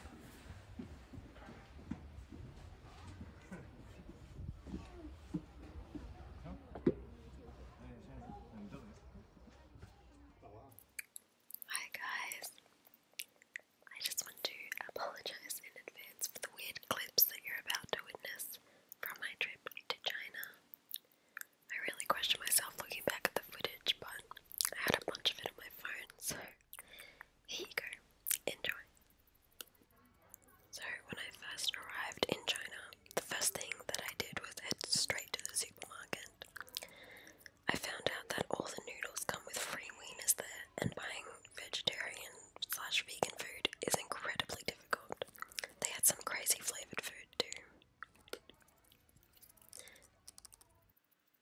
Hi guys, I just want to apologise in advance for the weird clips that you're about to witness from my trip to China. I really question myself looking back at the footage, but I had a bunch of it on my phone, so here you go. Enjoy. So, when I first arrived in China, the first thing that I did was head straight to the supermarket. I found out that all the noodles come with free wieners there, and buying vegetarian slash vegan food is incredibly difficult. They had some crazy flavoured food too.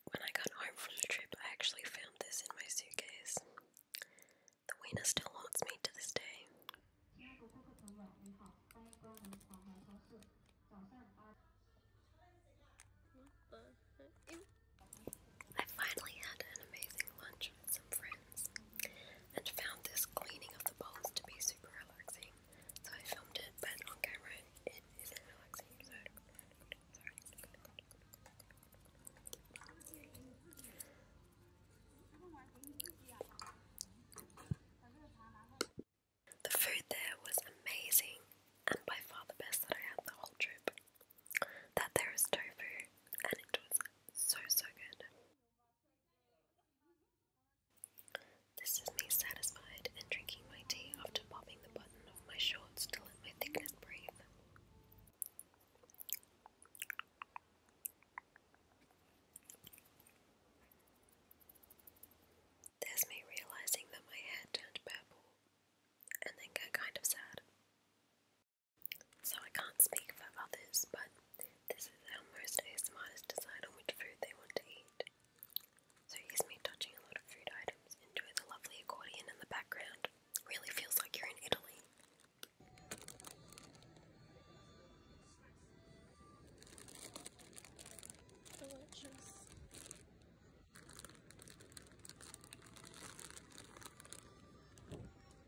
When I got home from the trip, I actually found this in my suitcase. The wiener still haunts me to this day. I finally had an amazing lunch with some friends and found this cleaning of the bowls to be super relaxing. So I filmed it, but on camera it isn't relaxing. So sorry. The food there was amazing and by far the best that I had the whole trip. That there is tofu and it was so so good. This is me satisfied and drinking my tea after popping the button of my shorts to let my thickness breathe. There's me realizing that my head turned purple and then got kind of sad. So I can't speak for others, but this is how most ASMRs decide on which food they want to eat. So here's me touching a lot of food items. Enjoy the lovely accordion in the background. Really feels like you're in Italy. Delicious.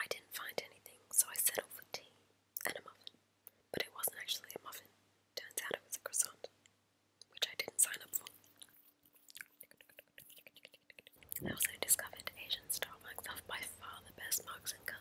I didn't find anything, so I settled for tea and a muffin. But it wasn't actually a muffin, turns out it was a croissant, which I didn't sign up for. I also discovered Asians style mugs off by far the best mugs and cups.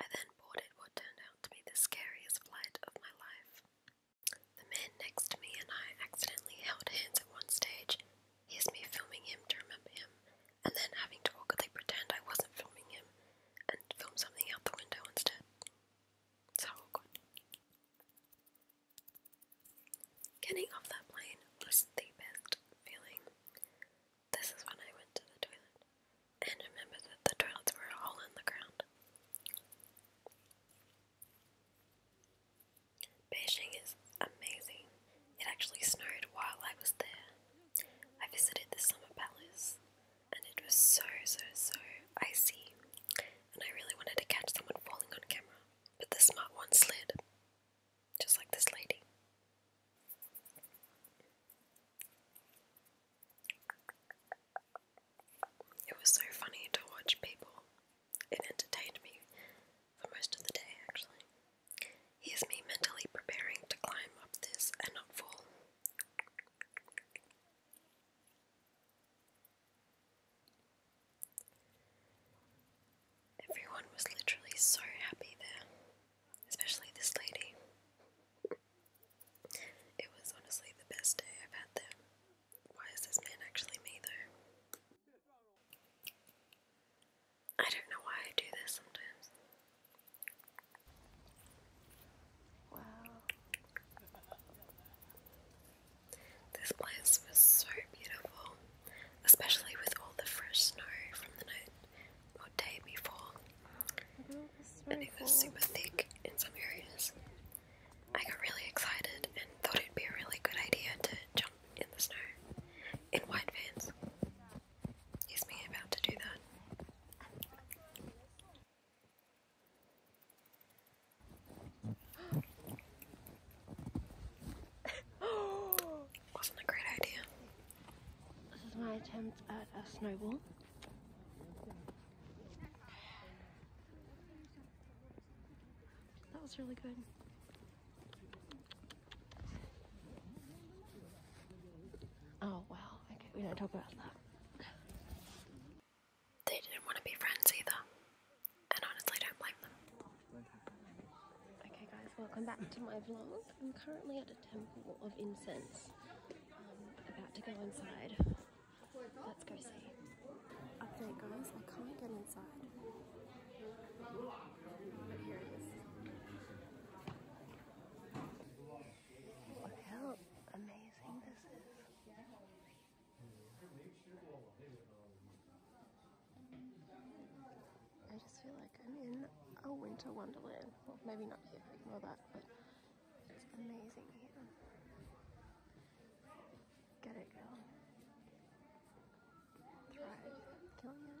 I then boarded what turned out to be the scariest flight of my life. The man next to me and I accidentally held hands at one stage. Here's me filming him to remember him, and then having to awkwardly pretend I wasn't filming him and film something out the window instead. So awkward. Getting off that plane was the best feeling. This is when I went to the toilet and remember that the toilets were all in the ground. Beijing is amazing. It actually snowed while I was there. I visited the summer palace and it was so, so, so icy, and I really wanted to catch someone falling on camera, but the smart one slid just like this lady. It was so funny to watch people. It entertained me for most of the day, actually. Here's me mentally preparing to climb up this and not fall. Everyone was literally so happy there, especially this lady. It was honestly the best day I've had there. Why is this man actually me though? I don't know why I do this sometimes. Wow. This place was so beautiful, especially with all the fresh snow from the night or day before, and it was super thick in some areas. I got really excited and thought it'd be a really good idea to jump in the snow in white vans. Is me about to do that. Wasn't a great idea. This is my attempt at a snowball. That was really good. Oh wow, okay, we don't talk about that. They didn't want to be friends either. And honestly, don't blame them. Okay, guys, welcome back to my vlog. I'm currently at a temple of incense. I'm um, about to go inside. Let's go see. Update, guys, I can't get inside. But here it is. Look how amazing this is. I just feel like I'm in a winter wonderland. Well, maybe not here, ignore that, but it's amazing here. Get it, girl. Thrive. Killing it.